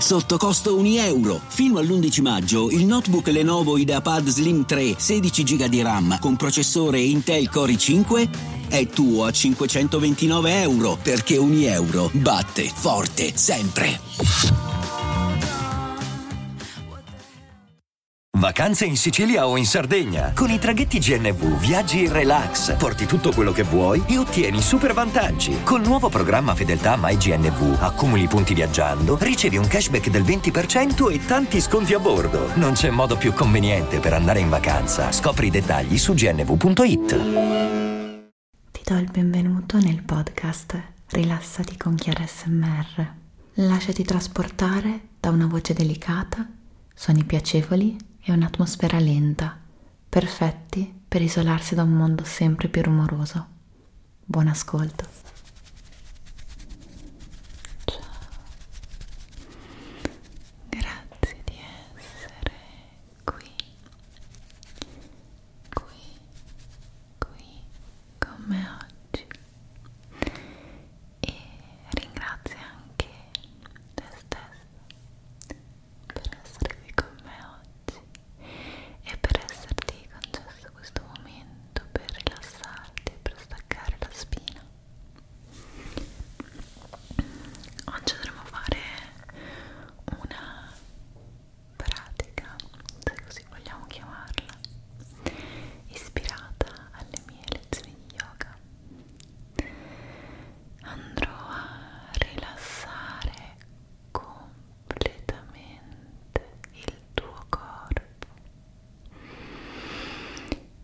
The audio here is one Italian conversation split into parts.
Sotto costo 1 euro. Fino all'11 maggio il notebook Lenovo IdeaPad Slim 3 16 GB di RAM con processore Intel Core i5 è tuo a 529 euro perché 1 euro batte forte sempre. Vacanze in Sicilia o in Sardegna. Con i traghetti GNV viaggi in relax. Porti tutto quello che vuoi e ottieni super vantaggi. Col nuovo programma Fedeltà MyGNV accumuli punti viaggiando, ricevi un cashback del 20% e tanti sconti a bordo. Non c'è modo più conveniente per andare in vacanza. Scopri i dettagli su gnv.it. Ti do il benvenuto nel podcast Rilassati con Chiara SMR. Lasciati trasportare da una voce delicata, suoni piacevoli e un'atmosfera lenta perfetti per isolarsi da un mondo sempre più rumoroso. Buon ascolto. Ciao. Grazie di essere qui, qui, qui con me oggi. E ringrazio anche te stesso per essere qui con me oggi e per esserti concesso questo momento per rilassarti e per staccare la spina. Oggi dovremo fare una pratica, se così vogliamo chiamarla, ispirata alle mie lezioni di yoga. Andrò a rilassare completamente il tuo corpo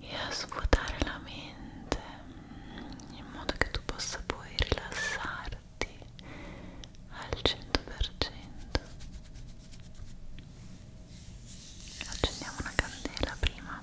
e a svuotare la mente in modo che tu possa poi rilassarti al 100%. Accendiamo una candela prima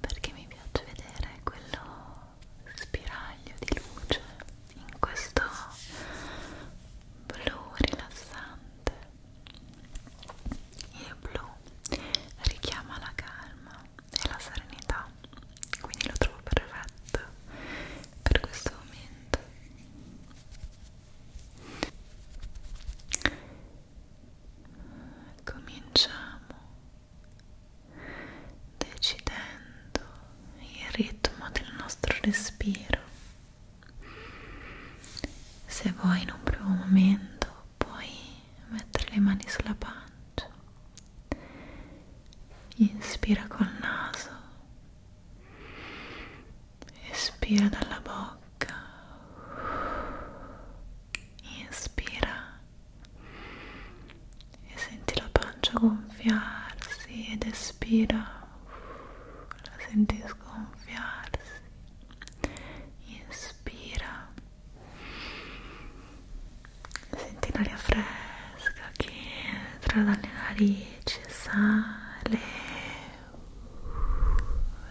perché mi piace vedere quello spiraglio di luce in questo blu rilassante il blu richiama la calma e la serenità quindi lo trovo perfetto per questo momento Cominciamo decidendo il ritmo del nostro respiro. Se vuoi in un primo momento puoi mettere le mani sulla pancia. Inspira col naso Espira dalla bocca. Inspira e senti la pancia gonfiarsi ed espira. La senti sgonfiarsi. Inspira. Senti l'aria fresca fresca che entra dalle narici, sale,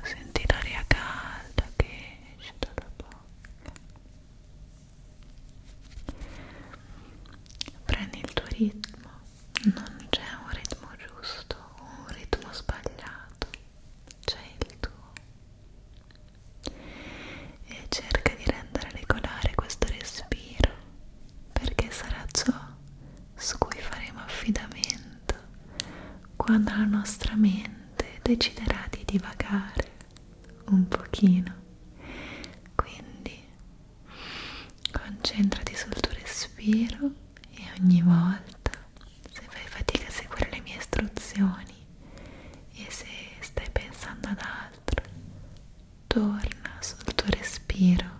senti l'aria calda che esce dalla bocca. Prendi il tuo ritmo, non c'è un ritmo giusto o un ritmo sbagliato, c'è il tuo. E cerca di rendere regolare questo respiro perché sarà ciò su cui faremo affidamento quando la nostra mente deciderà di divagare un pochino. Quindi concentrati sul tuo respiro e ogni volta se fai fatica a seguire le mie istruzioni e se stai pensando ad altro torna sul tuo respiro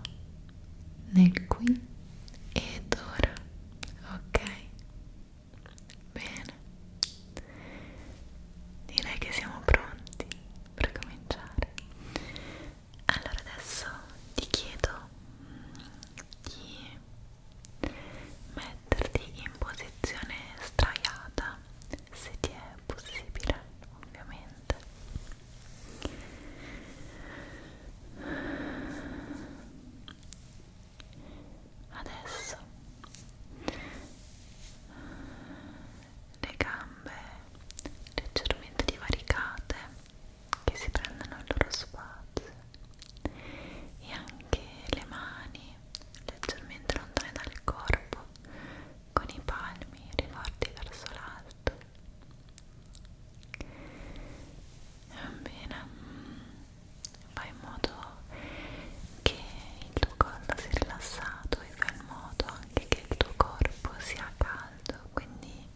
nel qui ed ora, ok? Bene, direi che siamo pronti per cominciare. Allora adesso ti chiedo di metterti in posizione straiata se ti è possibile ovviamente Adesso le gambe leggermente divaricate che si prendono il loro spazio e anche le mani leggermente lontane dal corpo con i palmi rivolti verso l'alto bene mm, fai in modo che il tuo collo sia rilassato e fai in modo anche che il tuo corpo sia caldo quindi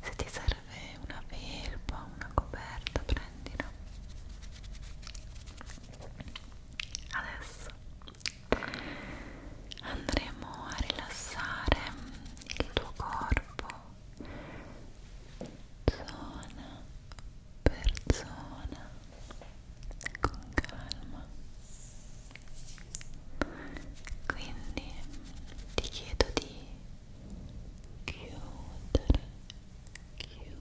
se ti serve una felpa una coperta prendila adesso andremo a rilassare il tuo corpo zona per zona con calma quindi ti chiedo di chiudere chiudere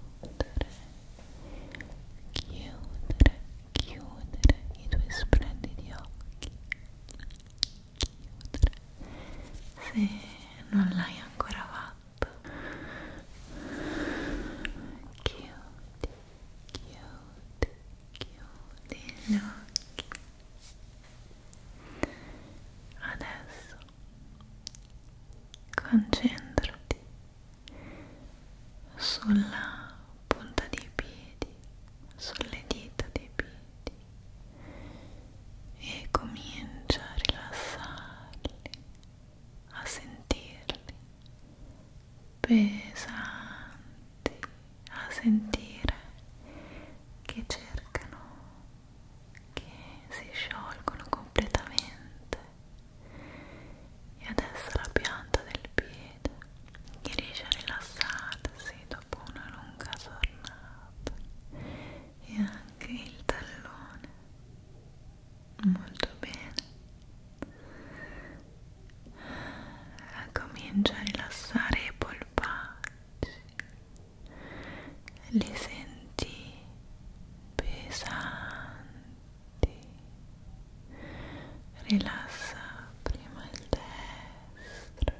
chiudere chiudere i tuoi splendidi occhi chiudere se non l'hai ancora fatto chiudi chiudi chiudi gli occhi adesso concentrati sulla punta dei piedi, sulle dita dei piedi e comincia a rilassarli, a sentirli pesanti, a sentire che cercano, che si sciolgono completamente. E adesso la pianta del piede che riesce a rilassarsi dopo una lunga giornata e anche il tallone molto bene ah, comincia a rilassare i polpacci li senti pesanti Rilassa prima il destro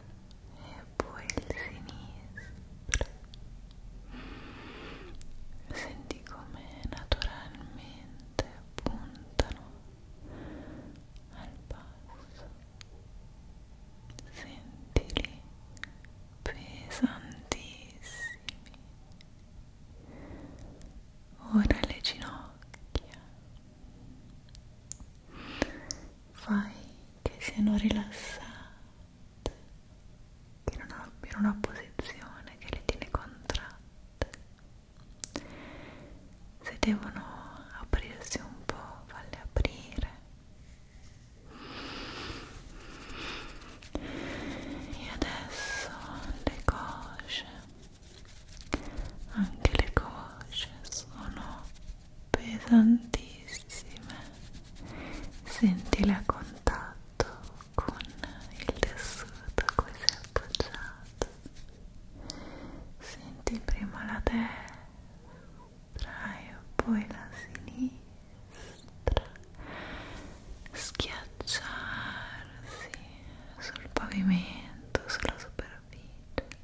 e poi il sinistro. Senti come naturalmente puntano al basso. Sentili pesantissimi. Ora le ginocchia fai che siano rilassate, che non abbiano una posizione che le tiene contratte. Se devono aprirsi un po', falle aprire. E adesso le cosce anche le cosce sono pesantissime sentile a contatto con il tessuto a cui sei appoggiato senti prima la destra e poi la sinistra schiacciarsi sul pavimento sulla superficie capito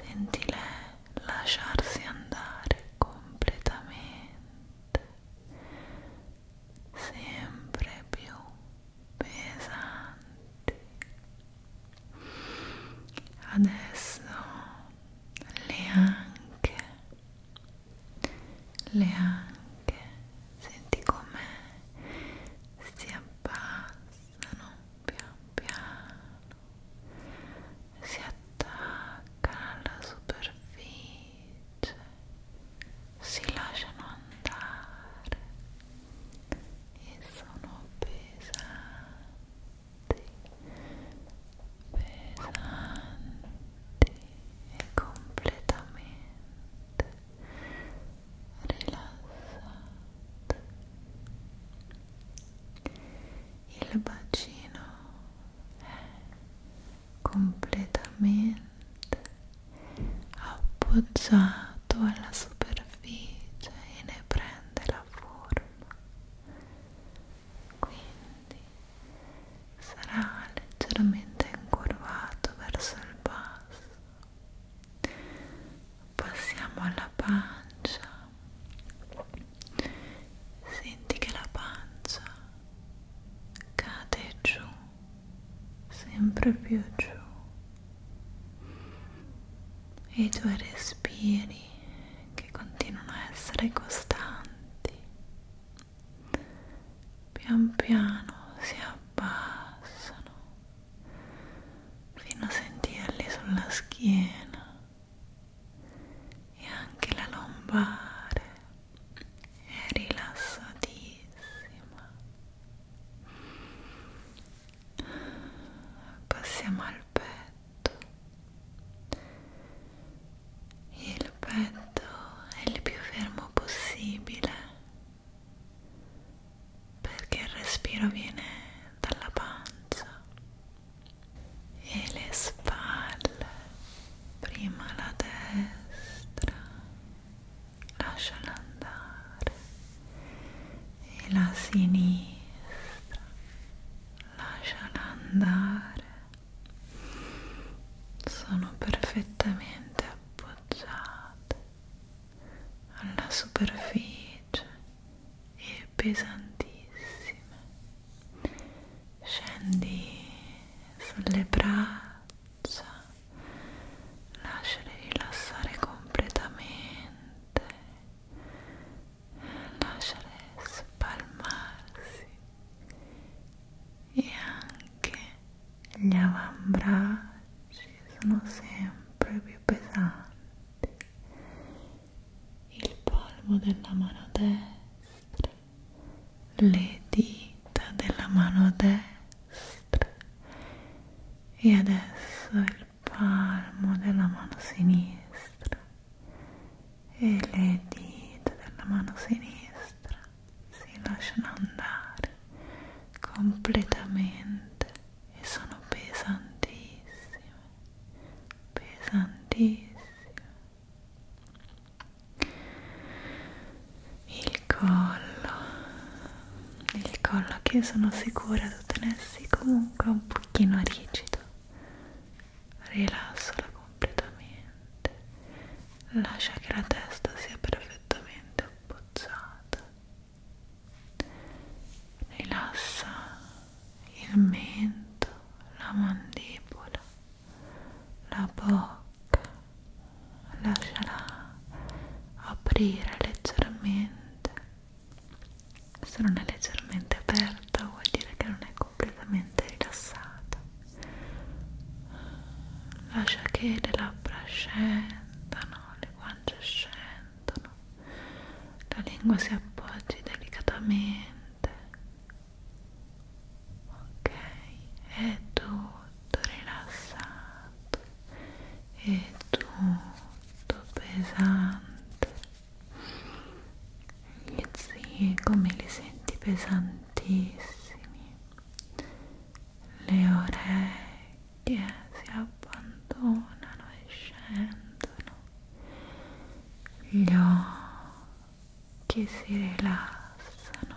senti lei lasciarsi andare completamente sempre più pesanti adesso le anche le anche senti com'è si abbassa rilassano pian piano si attaccano alla superficie si lasciano andare e sono pesanti pesanti e completamente rilassate il bacino è completamente appoggiato alla superficie e ne prende la forma quindi sarà leggermente incurvato verso il basso passiamo alla pancia senti che la pancia cade giù sempre più giù e i tuoi respiri che continuano a essere costanti pian piano si abbassano fino a sentirli sulla schiena e anche la lombare è rilassatissima. Passiamo al petto. Il petto è il più fermo possibile perché il respiro viene dalla pancia e le spalle, prima la destra, lasciala andare e la sinistra, lasciala andare. Sono perfettamente appoggiate alla superficie e pesantissime. Scendi sulle braccia, lasciale rilassare completamente, lasciale spalmarsi e anche gli avambracci sono sempre più più pesanti il palmo della mano destra le dita della mano destra e adesso il palmo della mano sinistra e le dita della mano sinistra si lasciano andare completamente e sono pesantissime, pesantissime. Il collo, il collo che sono sicura di tenersi comunque un pochino rigido, rilassalo completamente, lascia che la testa sia perfettamente appoggiata Rilassa il mento, la mandibola, la bocca, lasciala aprire leggermente. Se non è leggermente aperta vuol dire che non è completamente rilassata. Lascia che le labbra scendano, le guance scendano sentono. La lingua si appoggi delicatamente. Ok, è tutto rilassato, è tutto pesante. Gli zii come li senti pesantissimi. Le orecchie che si abbandonano e scendono, gli occhi si rilassano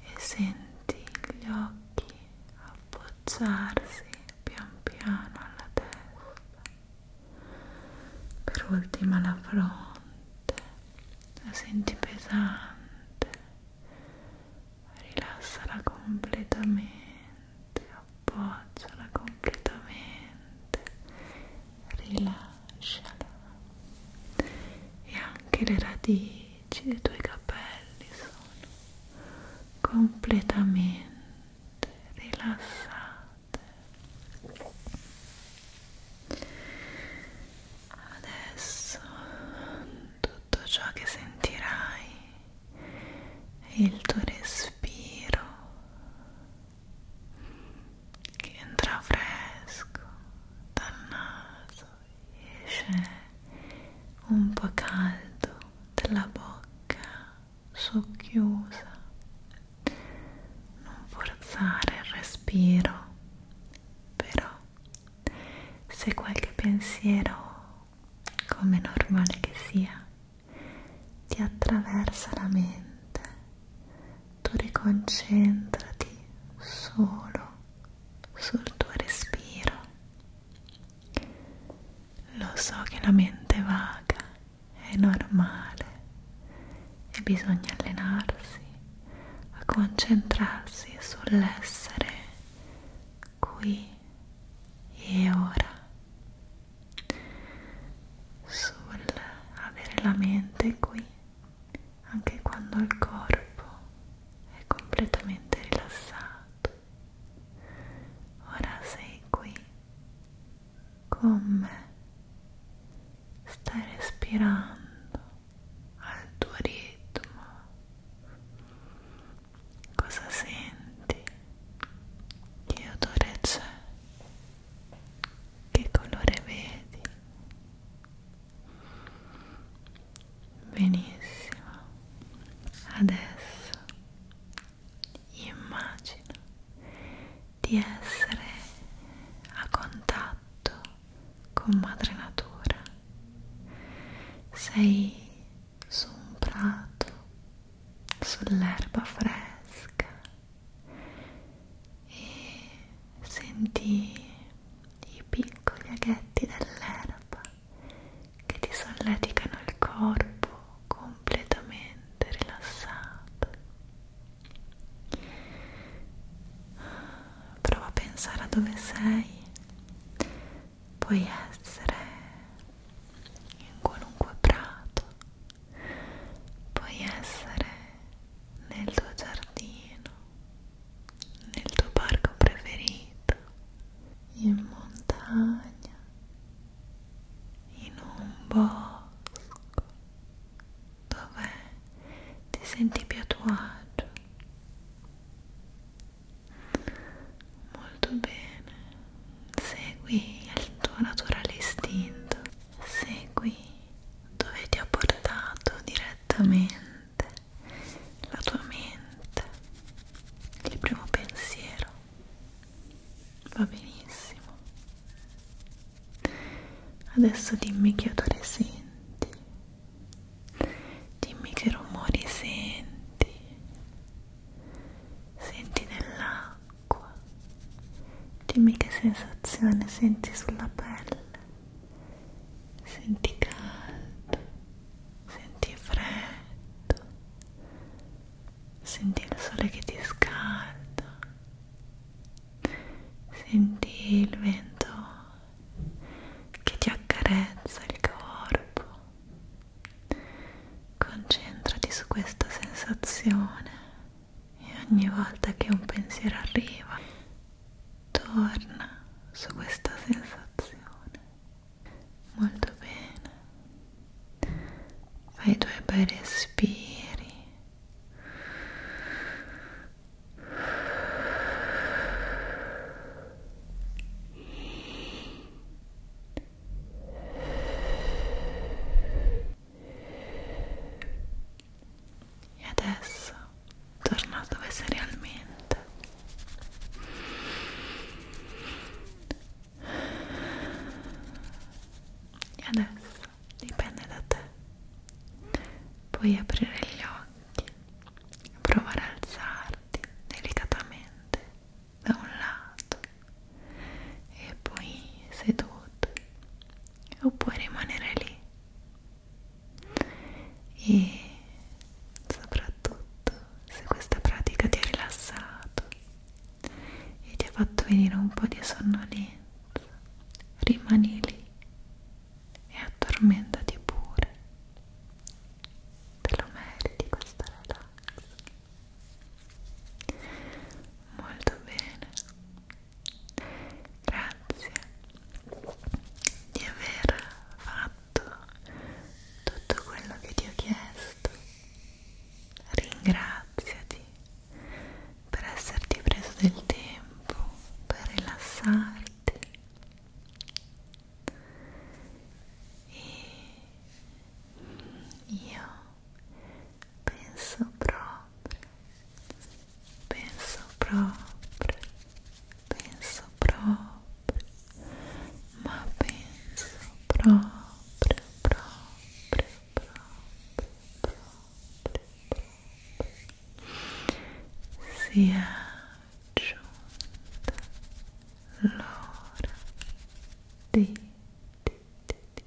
e senti gli occhi appoggiarsi pian piano alla testa, per ultima la fronte, la senti pesante rilassala completamente, appoggiala completamente, rilasciala e anche le radici dei tuoi capelli sono completamente rilassate. Adesso tu tutto ciò che sentirai è il tuo respiro che entra fresco dal naso e esce un po' caldo dalla bocca socchiusa non forzare il respiro però se qualche pensiero come normale che sia, ti attraversa la mente, tu riconcentrati solo sul tuo respiro. Lo so che la mente vaga è normale e bisogna allenarsi a concentrarsi sull'essere qui e ora sul avere la mente qui anche quando il corpo è completamente rilassato ora sei qui con me stai respirando al tuo ritmo Cosa senti? Che odore c'è? Che colore vedi? Benissimo. Adesso immagina di essere a contatto con madre natura. Sei su un prato, sull'erba fresca e senti i piccoli aghetti dell'erba che ti solleticano il corpo completamente rilassato. Prova a pensare a dove sei puoi essere in qualunque prato, puoi essere nel tuo giardino, nel tuo parco preferito, in montagna, in un bosco, dove ti senti più a tuo agio. Molto bene, segui il tuo naturale istinto, segui dove ti ha portato direttamente la tua mente, il primo pensiero, va benissimo. Adesso dimmi che odore senti dimmi che rumori senti senti nell'acqua dimmi che sensazione senti sulla pelle senti caldo senti freddo senti il sole che ti scalda senti il vento che ti accarezza il corpo Concentrati su questa sensazione e ogni volta che un pensiero arriva, torna su questa sensazione. Molto bene. Fai i tuoi bei respiri. E adesso torna dove sei realmente. E adesso dipende da te. Puoi aprire gli occhi provare a alzarti delicatamente da un lato e poi seduto oppure rimanere lì e soprattutto se questa pratica ti ha rilassato e ti ha fatto venire un po' di sonnolenza rimani lì e addormentati pure te lo meriti questo relax molto bene grazie di aver fatto tutto quello che ti ho chiesto ringraziati per esserti preso del tempo per rilassarti e io penso proprio penso proprio penso proprio ma penso proprio proprio proprio proprio proprio sia raggiunta l'ora di, di, di, di, di.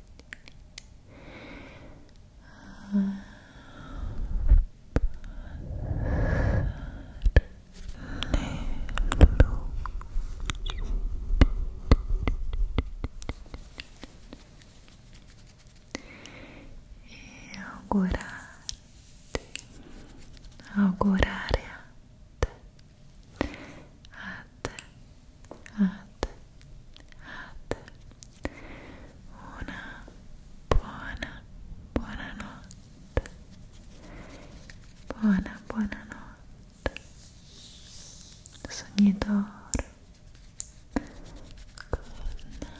E augurare, augurare a te, a te, a te, a te. Una buona, buona notte. Buona, buona notte. Sognatore. Good night.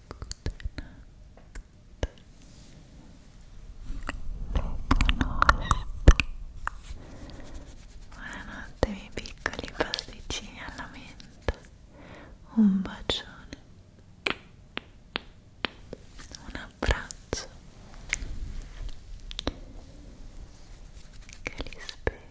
Buonanotte miei piccoli pasticcini alla menta. Un bacione. Un abbraccio. Che li spero.